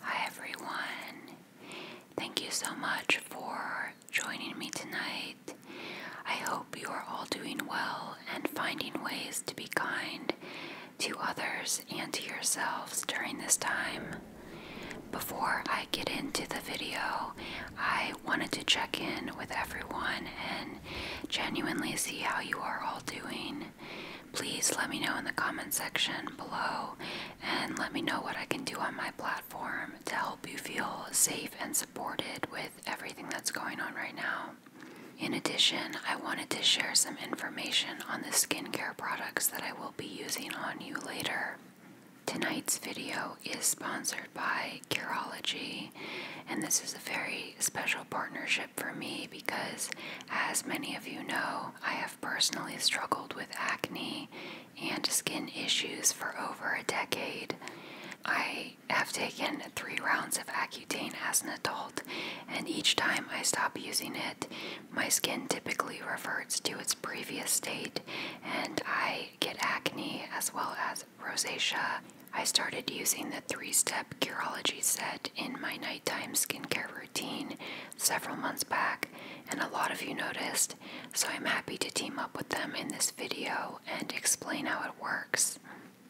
Hi everyone. Thank you so much for joining me tonight. I hope you are all doing well and finding ways to be kind to others and to yourselves during this time. Before I get into the video, I wanted to check in with everyone and genuinely see how you are all doing. Please let me know in the comment section below and let me know what I can do on my platform to help you feel safe and supported with everything that's going on right now. In addition, I wanted to share some information on the skincare products that I will be using on you later. Tonight's video is sponsored by Curology, and this is a very special partnership for me because, as many of you know, I have personally struggled with acne and skin issues for over a decade. I have taken three rounds of Accutane as an adult, and each time I stop using it, my skin typically reverts to its previous state, and I get acne as well as rosacea. I started using the three step Curology set in my nighttime skincare routine several months back, and a lot of you noticed, so I'm happy to team up with them in this video and explain how it works.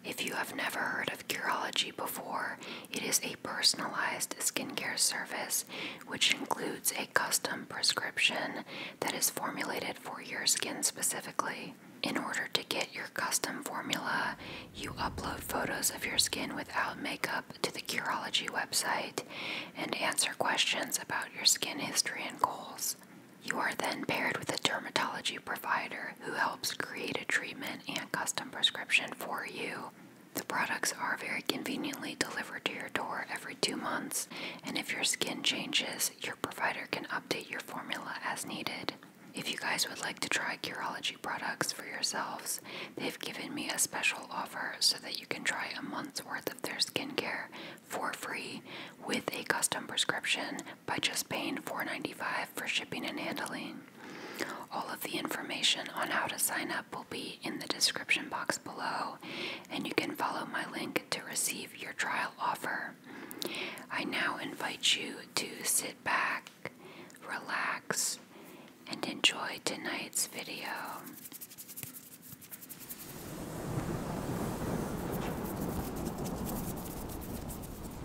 If you have never heard of Curology before, it is a personalized skincare service which includes a custom prescription that is formulated for your skin specifically. In order to get your custom formula, you upload photos of your skin without makeup to the Curology website and answer questions about your skin history and goals. You are then paired with a dermatology provider who helps create a treatment and custom prescription for you. The products are very conveniently delivered to your door every two months, and if your skin changes, your provider can update your formula as needed. If you guys would like to try Curology products for yourselves, they've given me a special offer so that you can try a month's worth of their skincare for free with a custom prescription by just paying $4.95 for shipping and handling. All of the information on how to sign up will be in the description box below, and you can follow my link to receive your trial offer. I now invite you to sit back, relax, and enjoy tonight's video.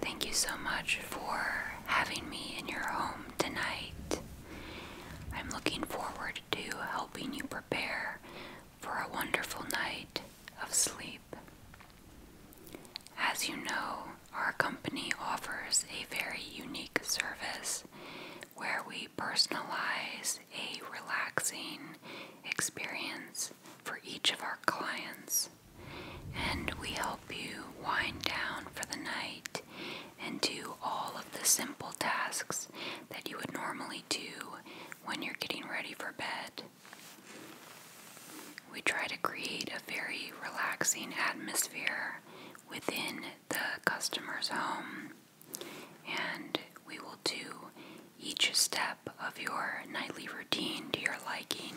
Thank you so much for having me in your home tonight. I'm looking forward to helping you prepare for a wonderful night of sleep. As you know, our company offers a very unique service where we personalize a relaxing experience for each of our clients. And we help you wind down for the night and do all of the simple tasks that you would normally do when you're getting ready for bed. We try to create a very relaxing atmosphere within the customer's home, and we will do each step of your nightly routine to your liking.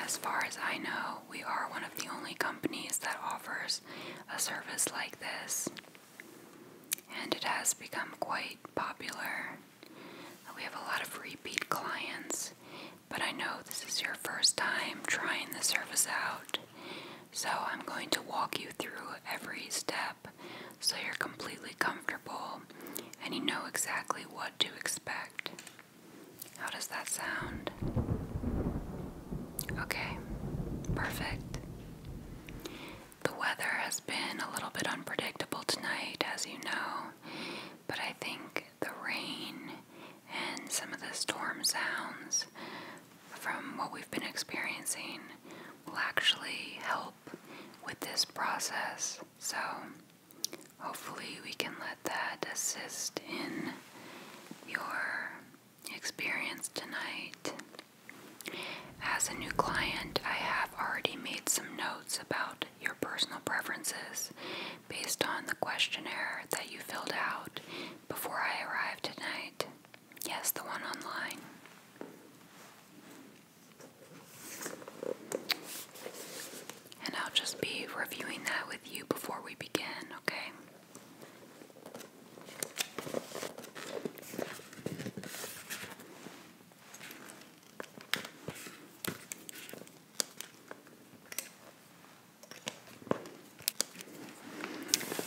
As far as I know, we are one of the only companies that offers a service like this, and it has become quite popular. We have a lot of repeat clients, but I know this is your first time trying the service out, so I'm going to walk you through every step so you're completely comfortable and you know exactly what to expect. How does that sound? Okay, perfect. The weather has been a little bit unpredictable tonight, as you know, but I think the rain and some of the storm sounds from what we've been experiencing will actually help with this process. So, hopefully, we can let that assist in your experience tonight. As a new client, I have already made some notes about your personal preferences based on the questionnaire that you filled out before I arrived tonight. Yes, the one online. And I'll just be reviewing that with you before we begin, okay?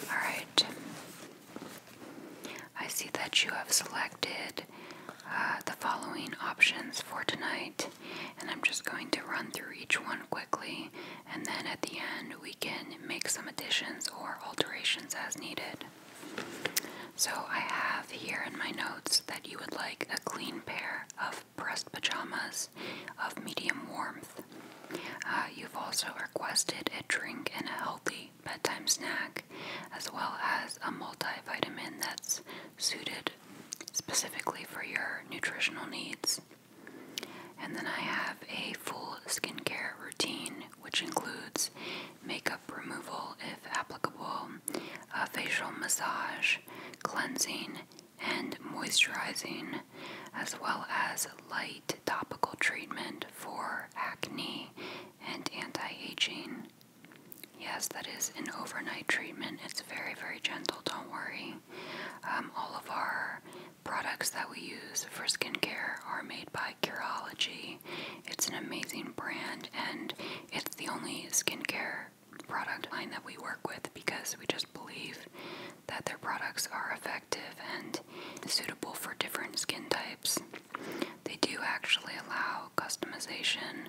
All right. I see that you have selected uh, the following options for tonight, and I'm just going to run through each one quickly, and then at the end we can make some additions or alterations as needed. So, I have here in my notes that you would like a clean pair of pressed pajamas of medium warmth. Uh, you've also requested a drink and a healthy bedtime snack, as well as a multivitamin that's suited specifically for your nutritional needs. And then I have a full skincare routine, which includes makeup removal if applicable, a facial massage, cleansing, and moisturizing, as well as light topical treatment for acne and anti-aging. Yes, that is an overnight treatment. It's very, very gentle. Don't worry. Um, all of our products that we use for skincare are made by Curology. It's an amazing brand, and it's the only skincare product line that we work with because we just believe that their products are effective and suitable for different skin types. They do actually allow customization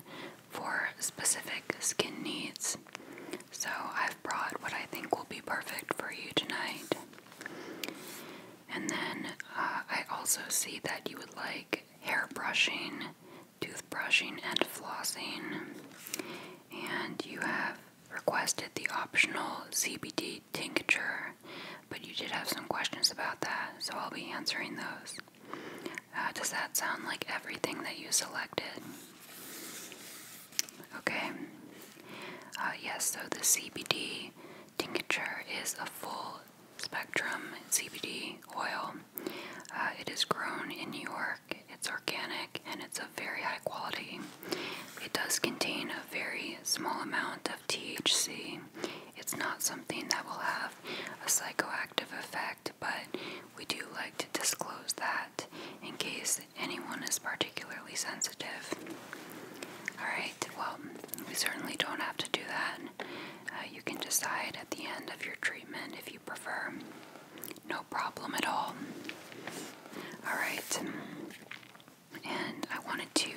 for specific skin needs. So I've brought what I think will be perfect for you tonight. And then uh, I also see that you would like hair brushing, tooth brushing, and flossing. And you have requested the optional CBD the tincture, but you did have some questions about that, so I'll be answering those. Uh, does that sound like everything that you selected? Okay. Uh, yes, so the CBD tincture is a full spectrum CBD oil. Uh, it is grown in New York, it's organic, and it's of very high quality. It does contain a very small amount of THC. It's not something that will have a psychoactive effect, but we do like to disclose that in case anyone is particularly sensitive. Alright, well, we certainly don't have to do that. Uh, you can decide at the end of your treatment if you prefer. No problem at all. Alright, and I wanted to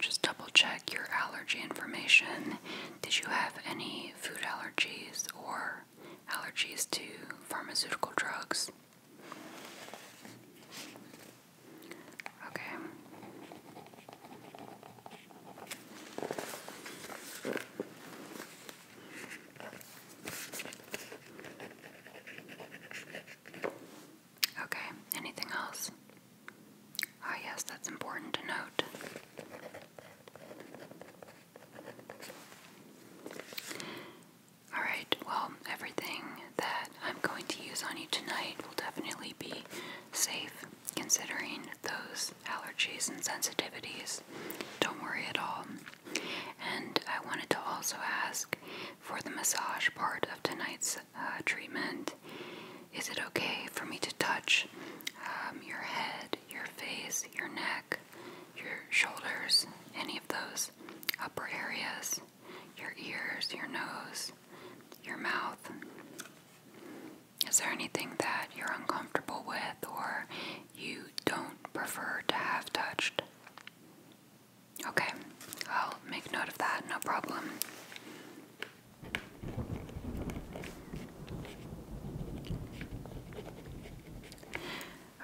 just double check your allergy information. Did you have any food allergies or allergies to pharmaceutical drugs? Okay. Okay, anything else? Ah, oh, yes, that's important to note. Alright, well, everything that I'm going to use on you tonight will definitely be safe considering those allergies and sensitivities. Don't worry at all. And I wanted to also ask for the massage part of tonight's uh, treatment. Is it okay for me to touch um, your head, your face, your neck, your shoulders, any of those upper areas, your ears, your nose, your mouth? Is there anything that you're uncomfortable with or you don't prefer to have touched? Okay, I'll make note of that, no problem.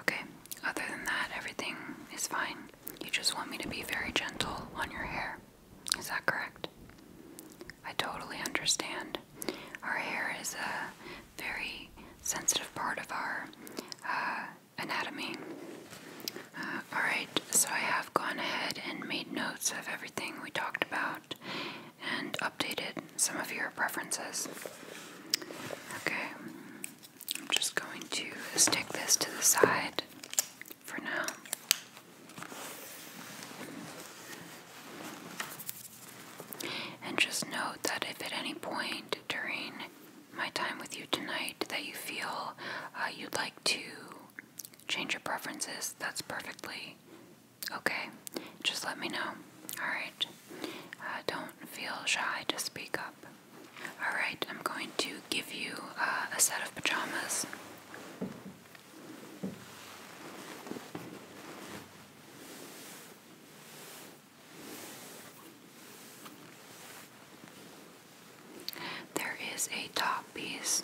Okay, other than that, everything is fine. You just want me to be very gentle on your hair. Is that correct? I totally understand. Our hair is a very sensitive part of our uh, anatomy. Alright, so I have gone ahead and made notes of everything we talked about and updated some of your preferences. Okay, I'm just going to stick this to the side for now. And just note that if at any point during my time with you tonight that you feel uh, you'd like to change your preferences. That's perfectly okay. Just let me know. All right. Uh, don't feel shy to speak up. All right. I'm going to give you uh, a set of pajamas. There is a top piece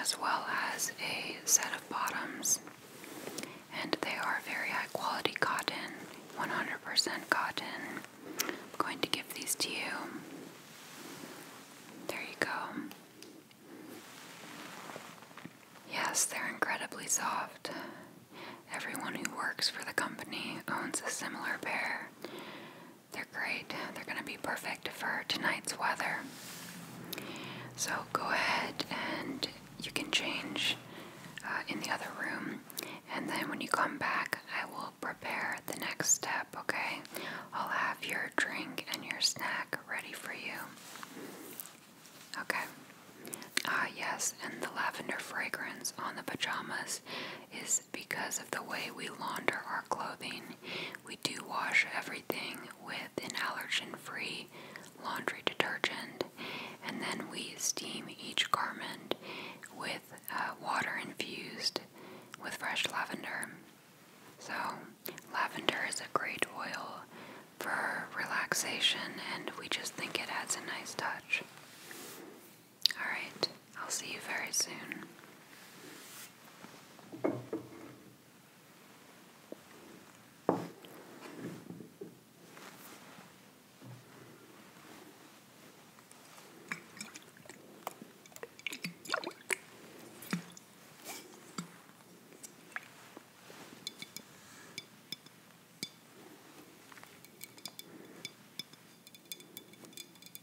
as well as a set of bottoms, and they are very high quality cotton, 100% cotton. I'm going to give these to you. There you go. Yes, they're incredibly soft. Everyone who works for the company owns a similar pair. They're great. They're going to be perfect for tonight's weather. So go ahead and you can change uh, in the other room. And then when you come back, I will prepare the next step, okay? I'll have your drink and your snack ready for you. Okay. Ah, yes, and the lavender fragrance on the pajamas is because of the way we launder our clothing. We do wash everything with an allergen free laundry detergent, and then we steam each garment with uh, water infused with fresh lavender. So, lavender is a great oil for relaxation, and we just think it adds a nice touch. Alright, I'll see you very soon.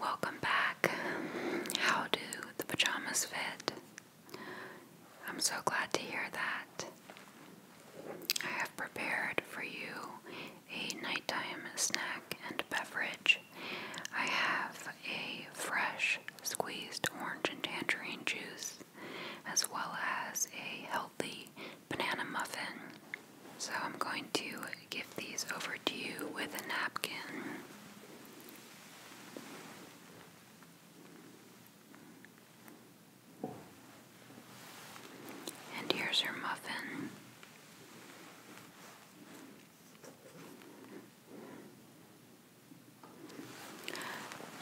Welcome back. How do the pajamas fit? I'm so glad to hear that. I have prepared for you a nighttime snack and beverage. I have a fresh squeezed orange and tangerine juice, as well as a healthy banana muffin. So I'm going to give these over to you with a napkin. And here's her muffin.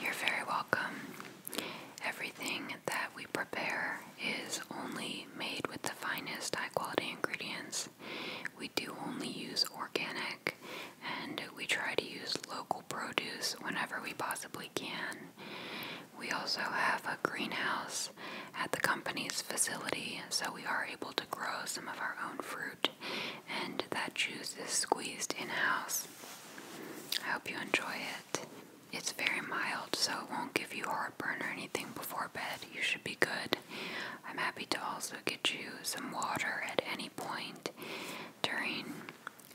You're very welcome. Everything that we prepare is only made with the finest high quality ingredients. We do only use organic and we try to use local produce whenever we possibly can. We also have a greenhouse at the company's facility, so we are able to grow some of our own fruit, and that juice is squeezed in house. I hope you enjoy it. It's very mild, so it won't give you heartburn or anything before bed. You should be good. I'm happy to also get you some water at any point, during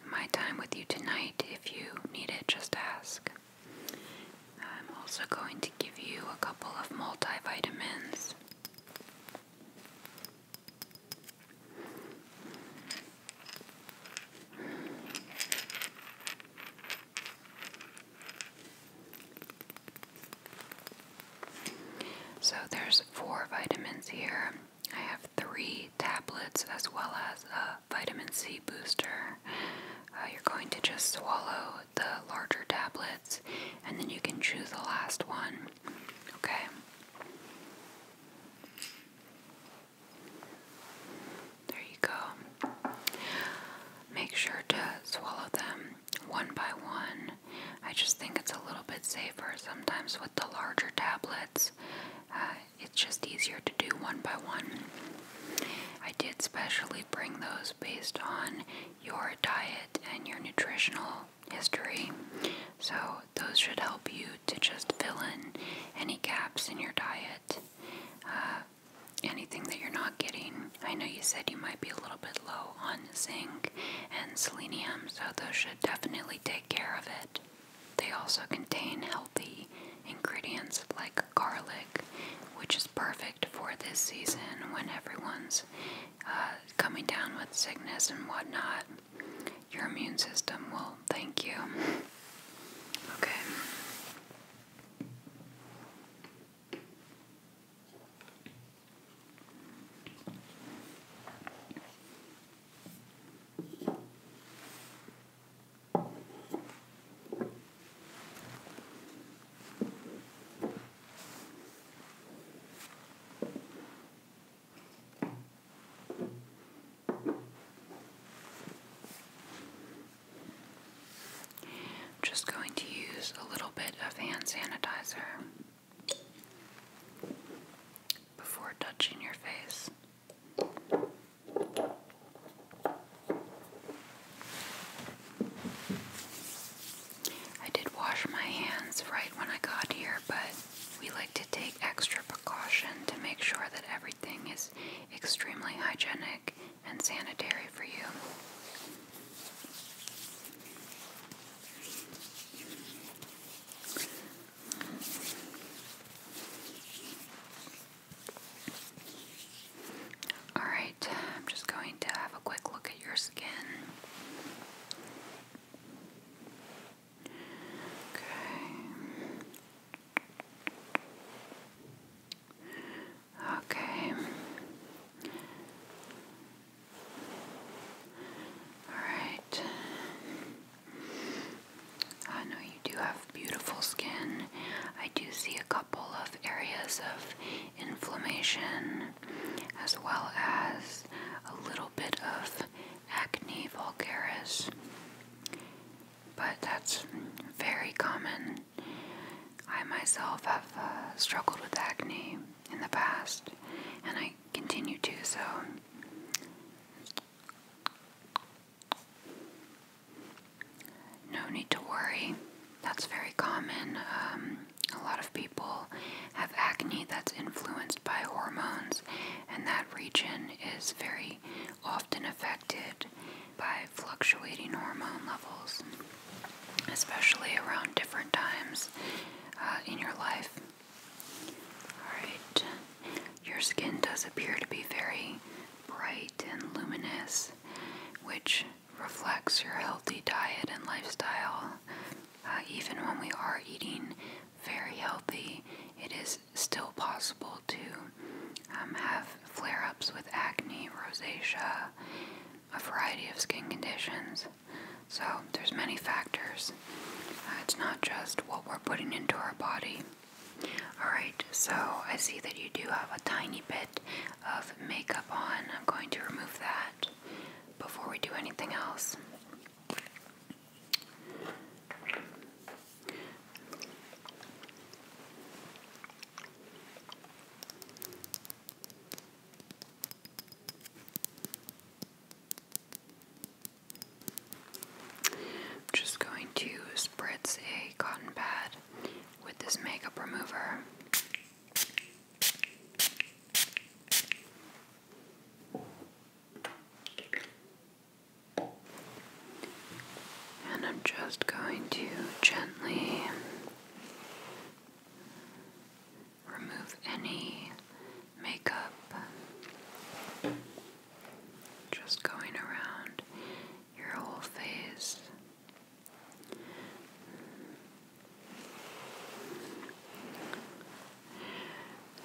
my time with you tonight. If you need it, just ask. I'm also going to give you a couple of multivitamins. So there's four vitamins here. I have three tablets as well as a vitamin C booster. Uh, you're going to just swallow the larger tablets and then you can choose the last one. Okay. There you go. Make sure to swallow them one by one I just think it's a little bit safer sometimes with the larger tablets. Uh, it's just easier to do one by one. I did specially bring those based on your diet and your nutritional history. So, those should help you to just fill in any gaps in your diet. Uh, anything that you're not getting. I know you said you might be a little bit low on zinc and selenium, so those should definitely take care of it. They also contain healthy ingredients like garlic, which is perfect for this season when everyone's uh, coming down with sickness and whatnot. Your immune system will thank you. Okay. I'm just going to use a little bit of hand sanitizer before touching your face. I did wash my hands right when I got here, but we like to take extra precaution to make sure that everything is extremely hygienic and sanitary for you. Alright, I'm just going to have a quick look at your skin. Okay. Okay. Alright. I know you do have beautiful skin. I do see a couple of areas of inflammation as well as a little bit of acne vulgaris. But that's very common. I myself have uh, struggled with acne in the past and I continue to, so no need to worry. That's very common. Um, a lot of people have acne that's influenced by hormones, and that region is very often affected by fluctuating hormone levels, especially around different times uh, in your life. Alright, your skin does appear to be very bright and luminous, which reflects your healthy diet and lifestyle. Uh, even when we are eating very healthy, it is still possible to um, have flare ups with acne, rosacea, a variety of skin conditions. So there's many factors. Uh, it's not just what we're putting into our body. Alright, so I see that you do have a tiny bit of makeup on. I'm going to remove that before we do anything else. I'm just going to spritz a cotton pad with this makeup remover. And I'm just going to gently remove any makeup. Just going around your whole face.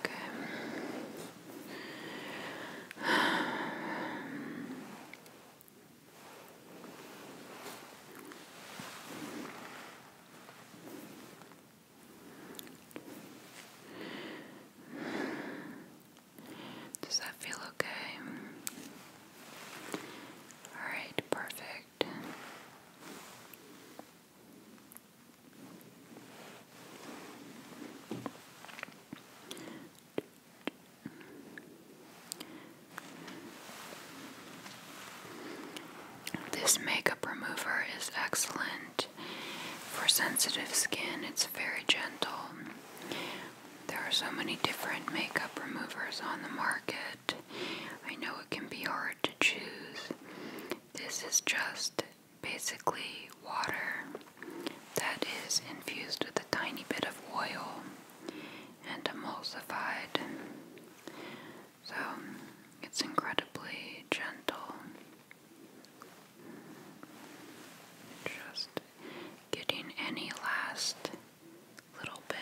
Okay. Does that feel okay? Alright, perfect. This makeup remover is excellent. For sensitive skin, it's very gentle. There are so many different makeup removers on the market. I know it can be hard to choose. This is just basically water that is infused with a tiny bit of oil and emulsified. So it's incredibly gentle. Just getting any last little bit.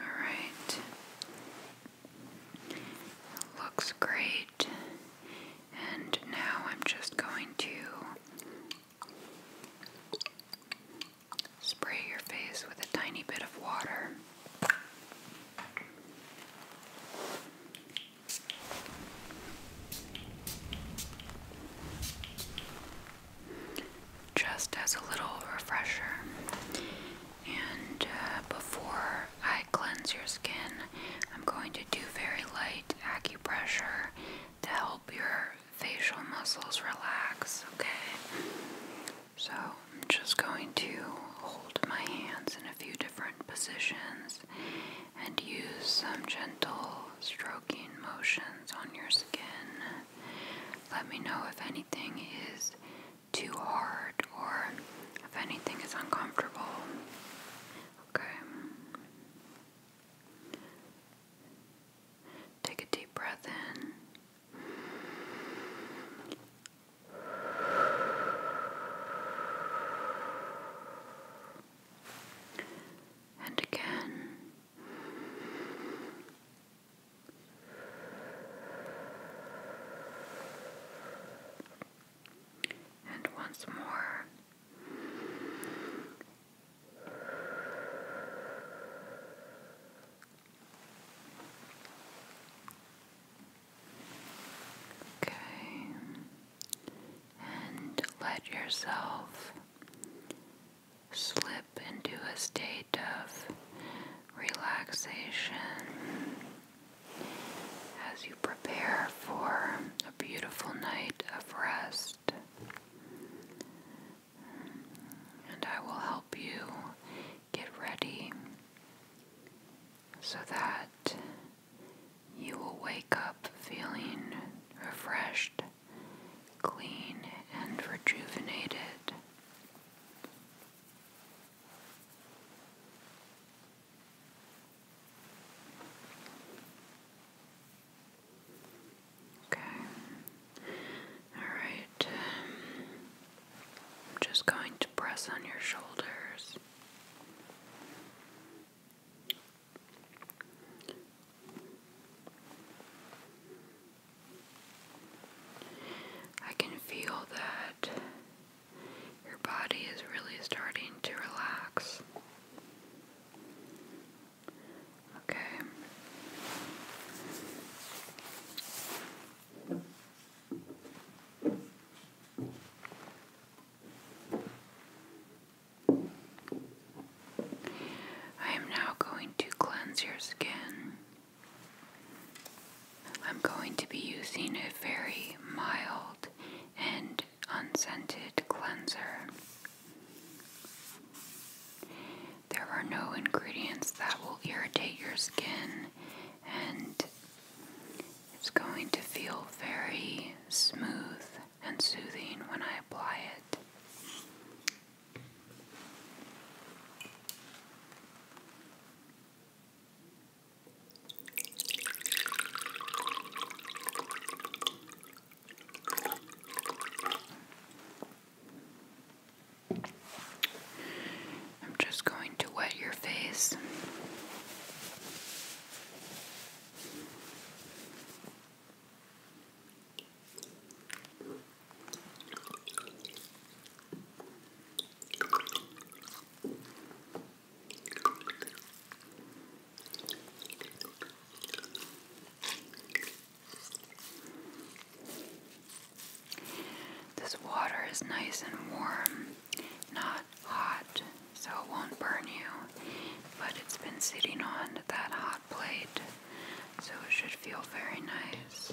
All right. Looks great. And now I'm just going to spray your face with a tiny bit of water. Just as a little refresher, and uh, before I cleanse your skin, I'm going to do very light acupressure to help your facial muscles relax, okay? So I'm just going to hold my hands in a few different positions and use some gentle stroking motions on your skin. Let me know if anything is too hard or if anything is uncomfortable. Okay. Take a deep breath in and again. And once more. Okay and let yourself slip into a state of relaxation as you prepare for a beautiful night of rest. And I will help you get ready so that you will wake up feeling refreshed, clean, and rejuvenated. Okay. All right. I'm um, just going to press on your shoulders. I can feel that your body is really starting to relax. Okay. I am now going to cleanse your skin. I'm going to be using a very mild and unscented cleanser. There are no ingredients that will irritate your skin and it's going to feel very smooth and soothing when I apply it. I'm just going to wet your face. This water is nice and warm, not hot, so it won't burn you, but it's been sitting on that hot plate, so it should feel very nice.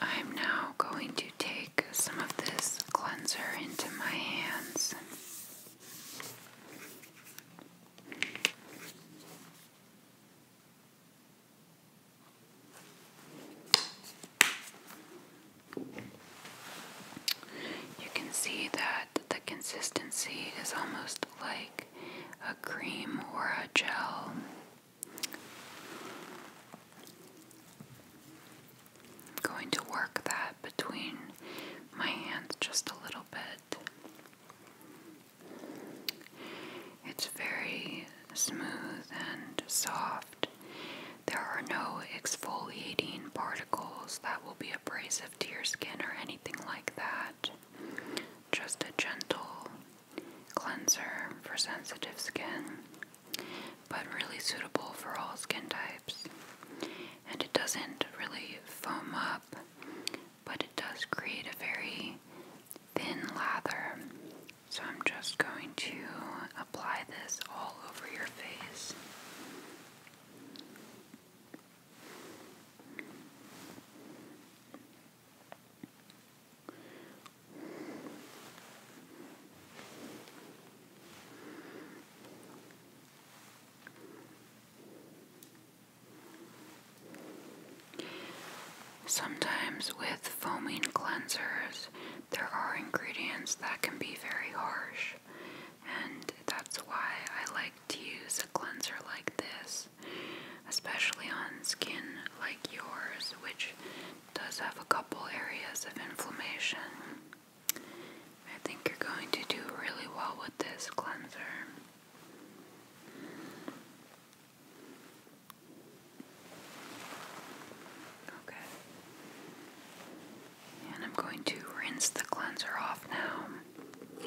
I'm now going to take some of this cleanser into my hands. You can see that the consistency is almost like a cream or a gel. I'm going to work that between my hands just a little bit. It's very smooth and soft. There are no exfoliating particles that will be abrasive to your skin or anything like that. Just a gentle cleanser for sensitive skin, but really suitable for all skin types. And it doesn't really foam up, but it does create a very thin lather. So I'm just going to apply this all over your face. Sometimes with foaming cleansers, there are ingredients that can be very harsh, and that's why I like to use a cleanser like this especially on skin like yours, which does have a couple areas of inflammation. I think you're going to do really well with this cleanser. Okay. And I'm going to rinse the cleanser off now.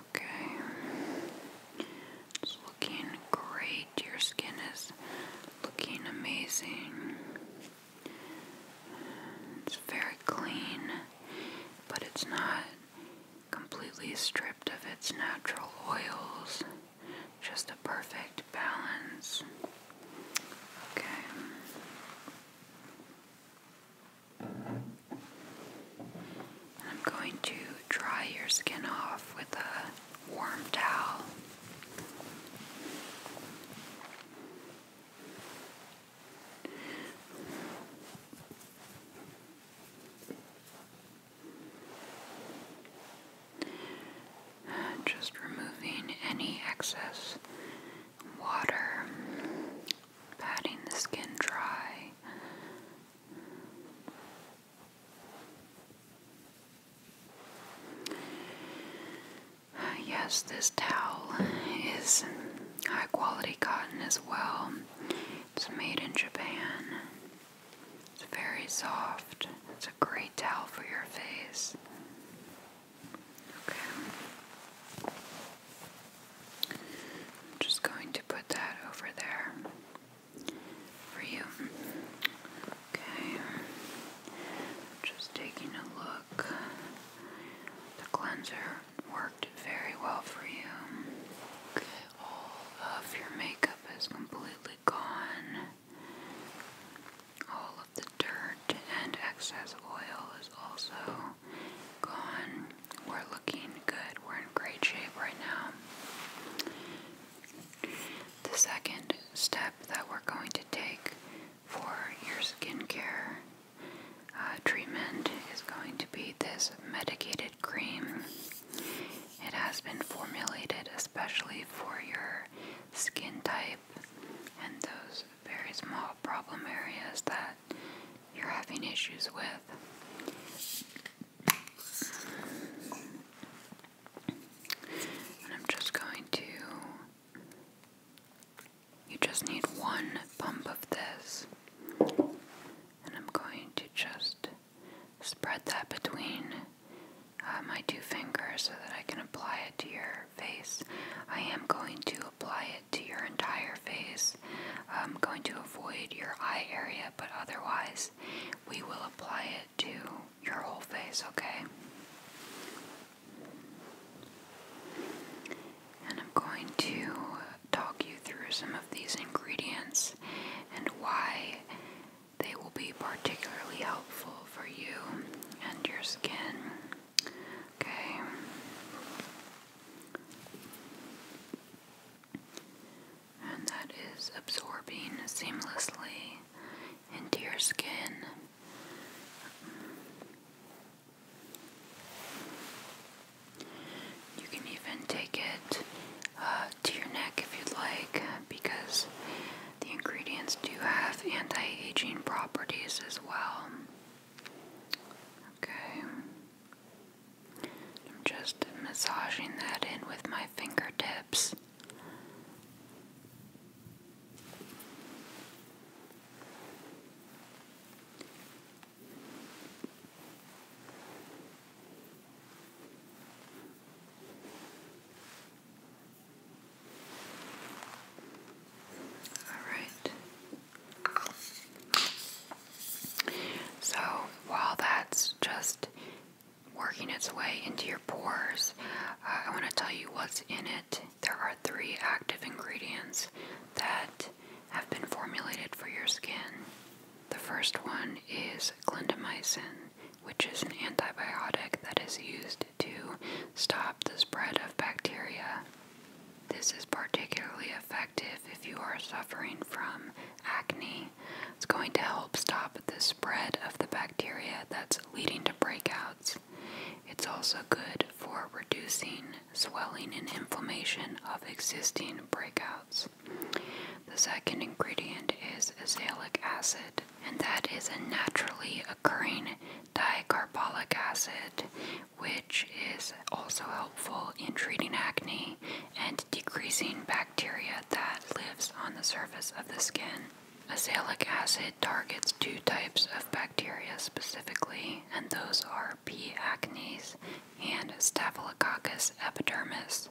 Okay. It's looking great. Your skin is looking amazing. It's very clean, but it's not completely stripped of its natural oils. Just a perfect balance. Okay. I'm going to dry your skin off with a warm towel. Just removing any excess water, patting the skin dry. Yes, this towel is high quality cotton as well. It's made in Japan. It's very soft. It's a great towel for your face. Okay. I'm just going to put that over there for you. Okay. Just taking a look. The cleanser worked very well for you. Okay, all of your makeup is completely gone. All the dirt and excess oil is also gone. We're looking good. We're in great shape right now. The second step that we're going to take for your skincare uh, treatment is going to be this medicated cream. It has been formulated especially for your skin type and those very small problem areas that you're having issues with. And I'm just going to. You just need one pump of this. And I'm going to just spread that between uh, my two fingers so that I can apply it to your face. I am going to apply it to your entire face. I'm going to avoid your eye area, but otherwise, we will apply it to your whole face, okay? And I'm going to talk you through some of these ingredients and why they will be particularly helpful for you and your skin. Okay. And that is absorbing seamlessly into your skin. You can even take it uh, to your neck if you'd like, because the ingredients do have anti aging properties as well. Okay. I'm just massaging that in with my fingertips. Alright. So while that's just working its way into your pores, uh, I want to tell you what's in it. There are three active ingredients that have been formulated for your skin. The first one is clindamycin, which is an antibiotic that is used to stop the spread of bacteria. This is particularly effective if you are suffering from acne. It's going to help stop the spread of the bacteria that's leading to breakouts. It's also good for reducing swelling and inflammation of existing breakouts. The second ingredient is azelaic acid, and that is a naturally occurring dicarboxylic acid, which is also helpful in treating acne and decreasing bacteria that lives on the surface of the skin. Azelaic acid targets two types of bacteria specifically, and those are P. acnes and Staphylococcus epidermis.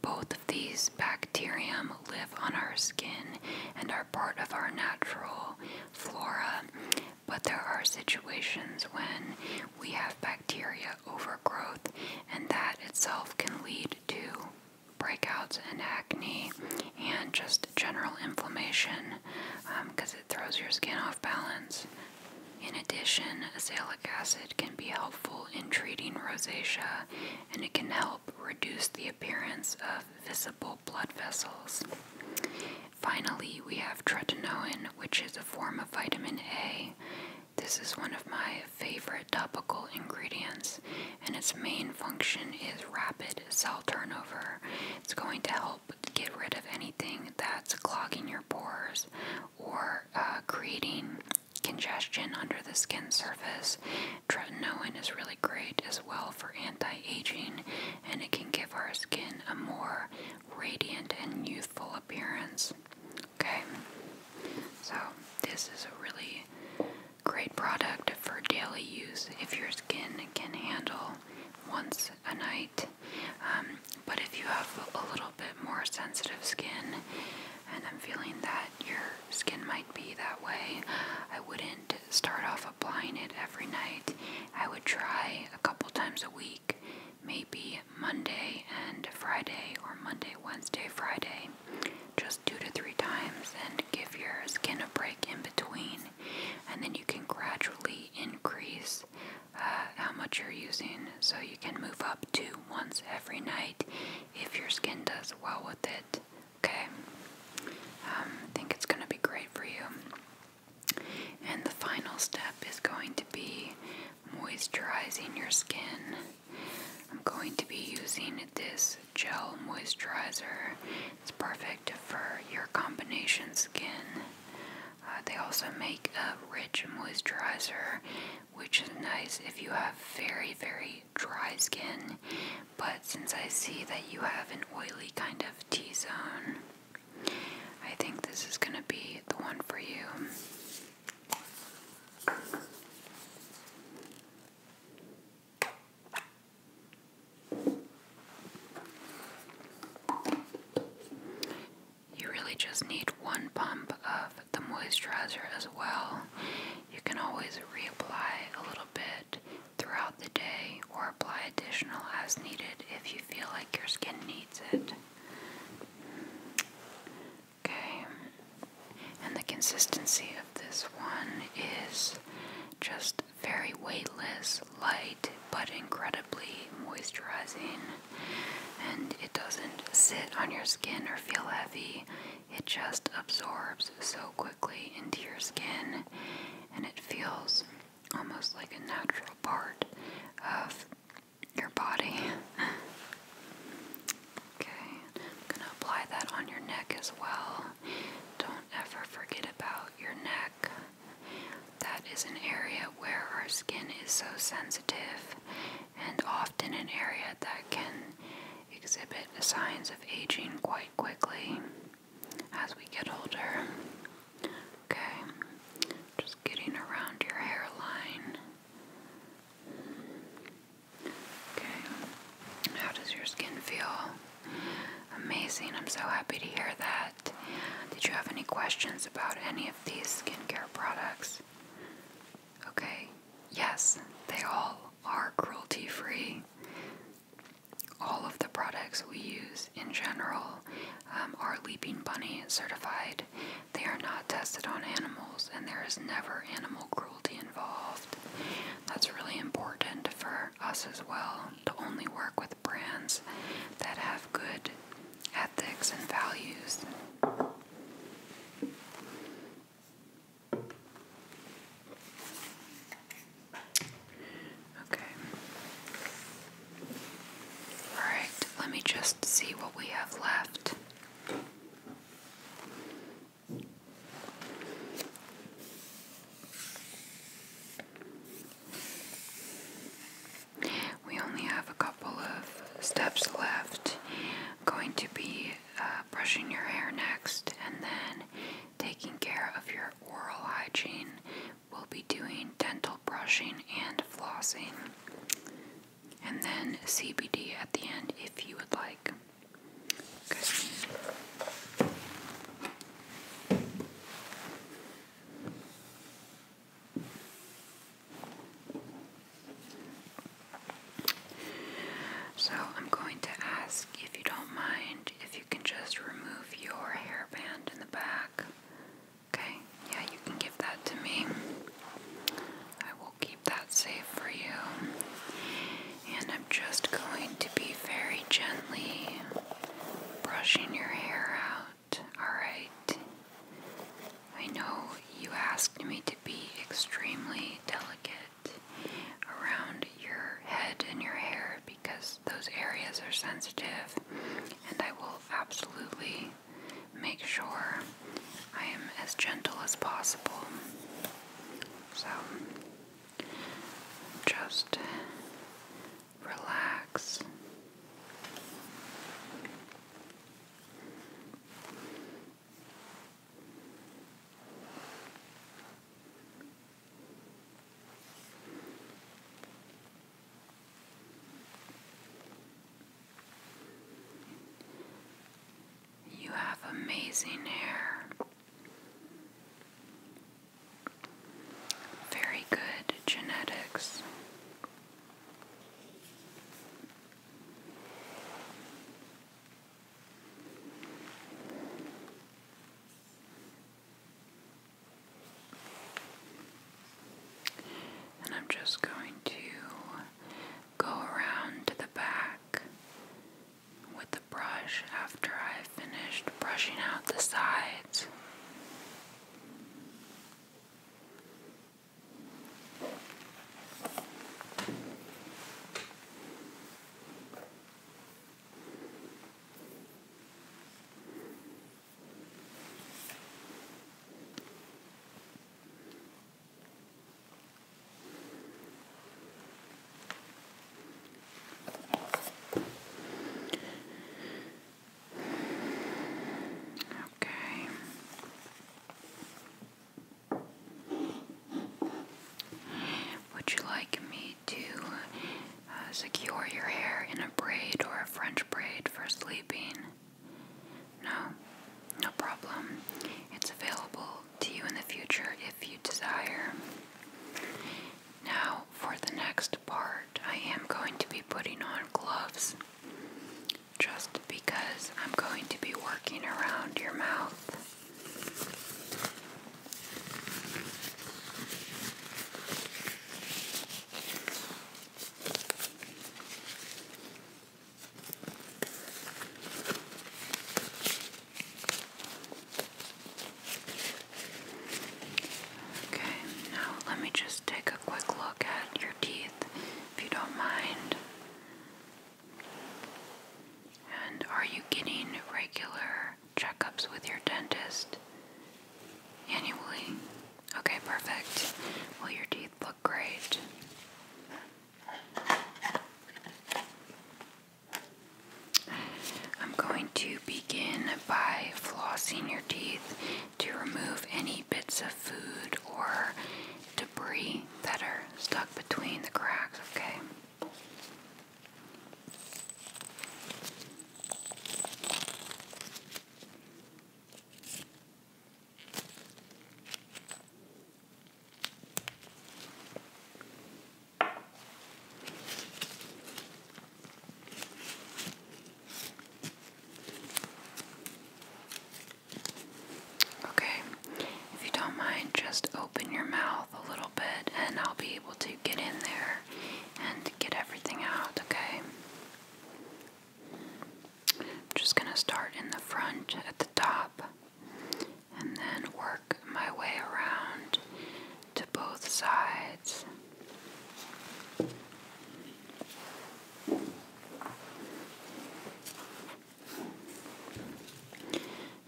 Both of these bacterium live on our skin and are part of our natural flora but there are situations when we have bacteria overgrowth, and that itself can lead to breakouts and acne and just general inflammation because um, it throws your skin off balance. In addition, azelaic acid can be helpful in treating rosacea and it can help reduce the appearance of visible blood vessels. Finally, we have tretinoin, which is a form of vitamin A. This is one of my favorite topical ingredients, and its main function is rapid cell turnover. It's going to help get rid of anything that's clogging your pores or uh, creating congestion under the skin surface. Tretinoin is really great as well for anti aging and it can give our skin a more radiant and youthful appearance. Okay, so this is a really great product for daily use if your skin can handle once a night. Um, but if you have a little bit more sensitive skin, and I'm feeling that your skin might be that way, I wouldn't start off applying it every night. I would try a couple times a week, maybe Monday and Friday, or Monday, Wednesday, Friday, just two to three times, and give your skin a break in between. And then you can gradually increase uh, how much you're using, so you can move up to once every night if your skin does well with it. Okay, um, I think it's going to be great for you. And the final step is going to be moisturizing your skin. I'm going to be using this gel moisturizer. It's perfect for your combination skin. Uh, they also make a rich moisturizer, which is nice if you have very, very dry skin. But since I see that you have an oily kind of T zone, I think this is going to be the one for you. You really just need one pump of the moisturizer as well. You can always reapply a little bit throughout the day or apply additional as needed if you feel like your skin needs it. Okay, and the consistency of this one is just very weightless, light, but incredibly moisturizing. And it doesn't sit on your skin or feel heavy, it just absorbs so quickly into your skin and it feels almost like a natural part of your body. okay, I'm gonna apply that on your neck as well. Don't ever forget about your neck. That is an area where our skin is so sensitive and often an area that can exhibit signs of aging quite quickly as we get older. Okay, just getting around your hairline. Okay, how does your skin feel? Amazing, I'm so happy to hear that. Did you have any questions about any of these skincare products? Okay, yes, they all are cruelty free all of the products we use in general um, are Leaping Bunny certified. They are not tested on animals, and there is never animal cruelty involved. That's really important for us as well to only work with brands that have good ethics and values. Okay. Alright, let me just see what we have left. We only have a couple of steps left. going to be uh, brushing your hair next and then taking care of your oral hygiene we'll be doing dental brushing and flossing, and then CBD at the end if you would like. So, I'm going to ask if you don't mind if you you can just remove your hairband in the back. Okay, yeah, you can give that to me. I will keep that safe for you. And I'm just going to be very gently brushing your hair out. Alright? I know you asked me to be extremely delicate around your head and your hair because those areas are sensitive, and I will absolutely make sure I am as gentle as possible. So just relax. You have amazing hair. Very good genetics. And I'm just going to go around to the back with the brush after I've finished brushing out the sides. Okay. Would you like me to uh, secure your hair in a braid or a French braid for sleeping? No, no problem. It's available to you in the future if you desire. Now, for the next part, I am going to be putting on gloves just because I'm going to be working around your mouth. Okay, now let me just take a quick look at your teeth if you don't mind. And are you getting regular checkups with your dentist annually? Okay, perfect. Well, your teeth look great. I'm going to begin by flossing your teeth to remove any bits of food or debris that are stuck between the cracks, okay? Okay, if you don't mind, just open your mouth a little bit and I'll be able to get in there and get everything out, okay? I'm just going to start in the front at the top and then work my way around to both sides.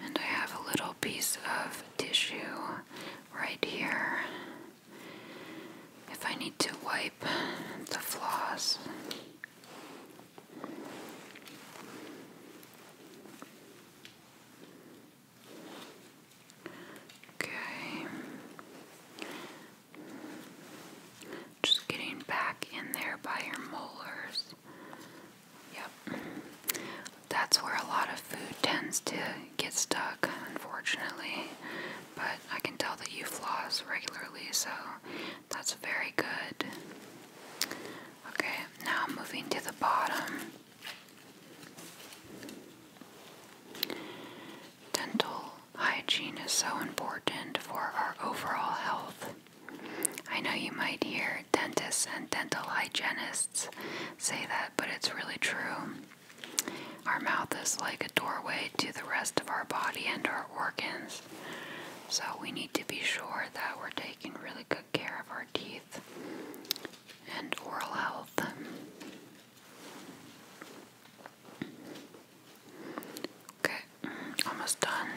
And I have a little piece of tissue right here if I need to wipe the floss. Okay. Just getting back in there by your molars. Yep. That's where a lot of food tends to get stuck, unfortunately, but I can tell that you floss regularly, so that's very good. Okay, now moving to the bottom. Dental hygiene is so important for our overall health. I know you might hear dentists and dental hygienists say that, but it's really true. Our mouth is like a doorway to the rest of our body and our organs, so we need to be sure that we're taking really good care of our teeth and oral health. Okay, almost done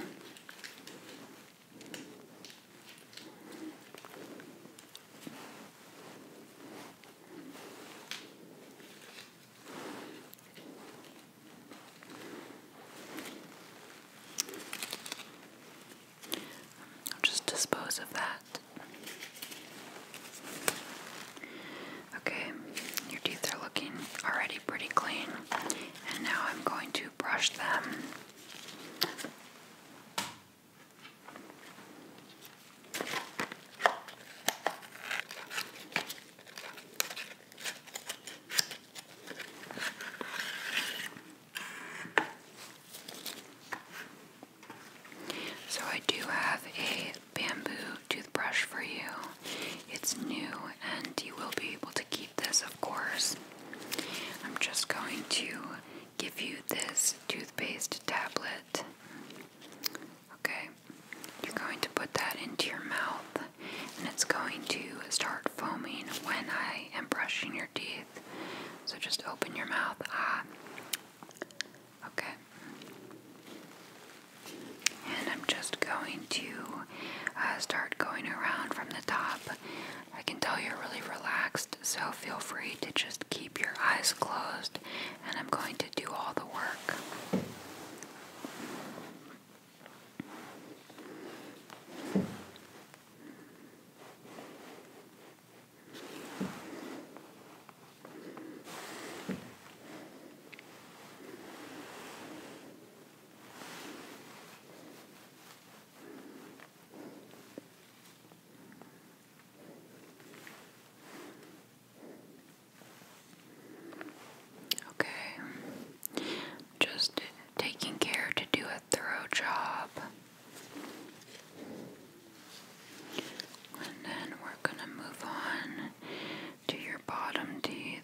i just dispose of that. Okay, your teeth are looking already pretty clean, and now I'm going to brush them so, I do have a bamboo toothbrush for you. It's new, and you will be able to keep this, of course. I'm just going to give you this toothpaste tablet Okay, you're going to put that into your mouth and it's going to start foaming when I am brushing your teeth. So just open your mouth. Ah. Okay. And I'm just going to uh, start going around from the top. I can tell you're really relaxed, so feel free to just keep your eyes closed and I'm going to do all the work. Okay. Just taking care to do a thorough job. And then we're going to move on to your bottom teeth.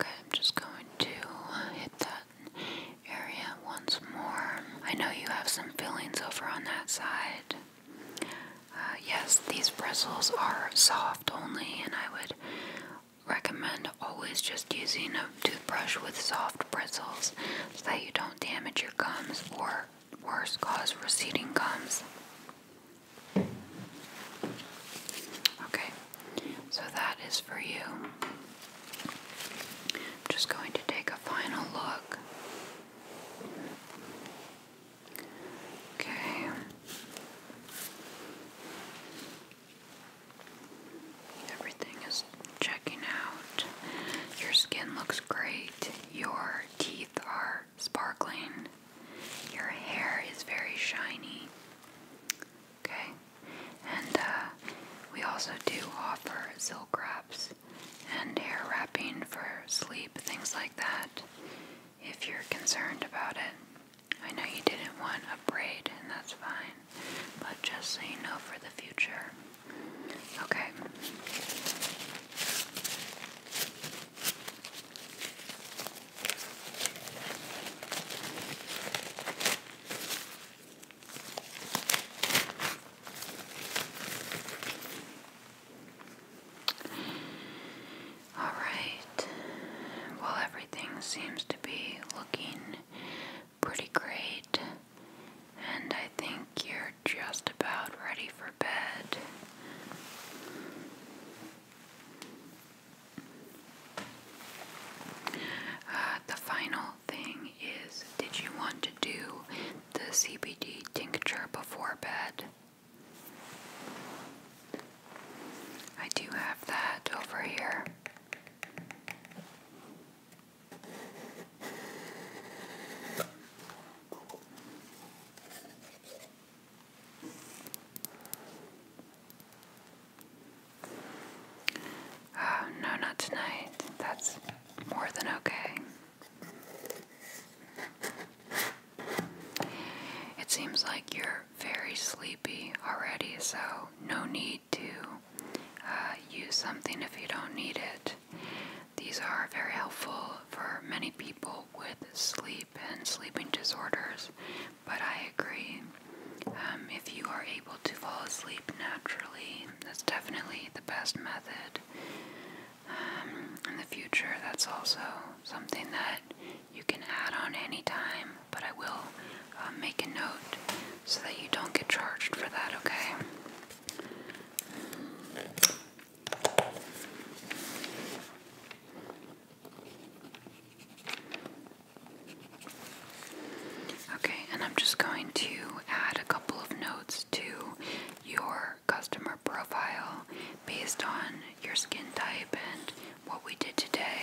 Okay, I'm just going to hit that area once more. I know you have some fillings over on that side. Uh, yes, these bristles are soft only, and I would recommend always just using a toothbrush with soft bristles so that you don't damage your gums or, worse, cause receding gums. Okay, so that is for you. I'm just going to take a final look. Okay. Everything is checking out. Your skin looks great. Your teeth are sparkling. Your hair is very shiny. Okay, and uh, we also do offer silk wraps and hair wrapping for sleep, things like that. If you're concerned about it, I know you didn't want a braid, and that's fine, but just so you know for the future. Okay. All right. Well, everything seems to be looking pretty great, and I think you're just about ready for bed. Uh, the final thing is did you want to do the CBD tincture before bed? I do have that over here. Oh, no, not tonight. That's more than okay. It seems like you're very sleepy already, so no need to uh, use something if you don't need it. These are very helpful for many people with sleep and sleeping disorders, but I agree. Um, if you are able to fall asleep naturally, that's definitely the best method. Um, in the future, that's also something that you can add on anytime, but I will um, make a note so that you don't get charged for that, okay? Okay, and I'm just going to add a couple of notes to your customer profile based on your skin type and what we did today.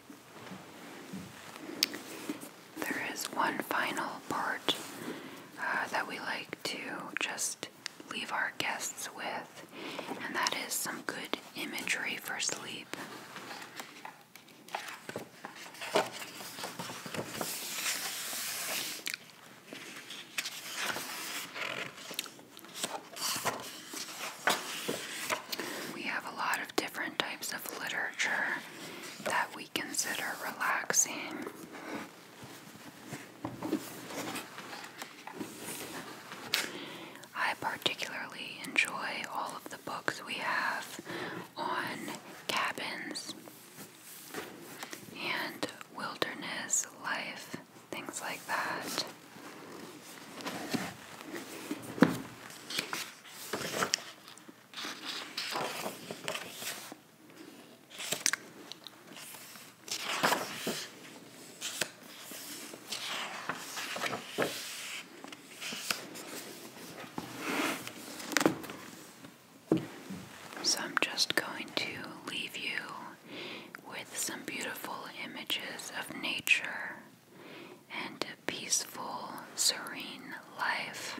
There is one final part uh, that we like to just leave our guests with, and that is some good imagery for sleep. We have a lot of different types of literature that we consider relaxing. I particularly enjoy all of the books we have on cabins and wilderness life, things like that. So I'm just going to leave you with some beautiful images of nature and a peaceful, serene life.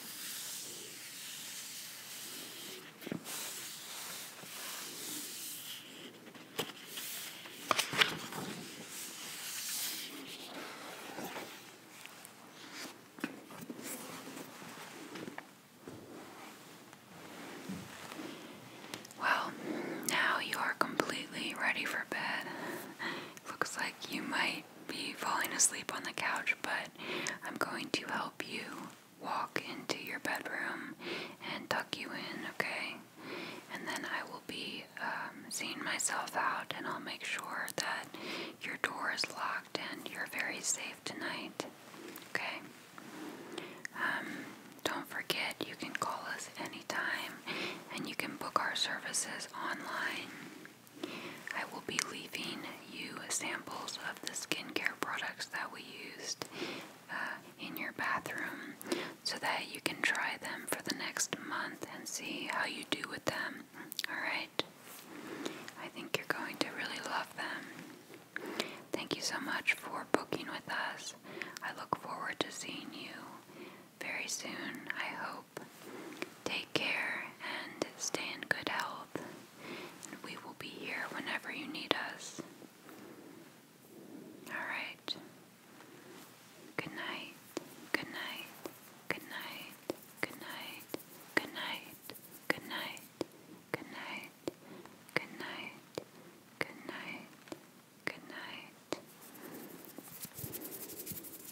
Well, now you are completely ready for bed. Looks like you might be falling asleep on the couch, but I'm going to help you walk into your bedroom and tuck you in, okay? And then I will be um, seeing myself out, and I'll make sure that your door is locked and you're very safe tonight, okay? Um, don't forget, you can call us anytime and you can book our services online. I will be leaving you samples of the skincare products that we used uh, in your bathroom so that you can try them for the next month and see how you do with them. Alright? I think you're going to really love them. Thank you so much for booking with us. I look forward to seeing you very soon. I hope. Take care and stay in good health. And we will be here whenever you need us. Alright. Good night. Good night. Good night. Good night. Good night. Good night. Good night. Good night. Good night. Good night.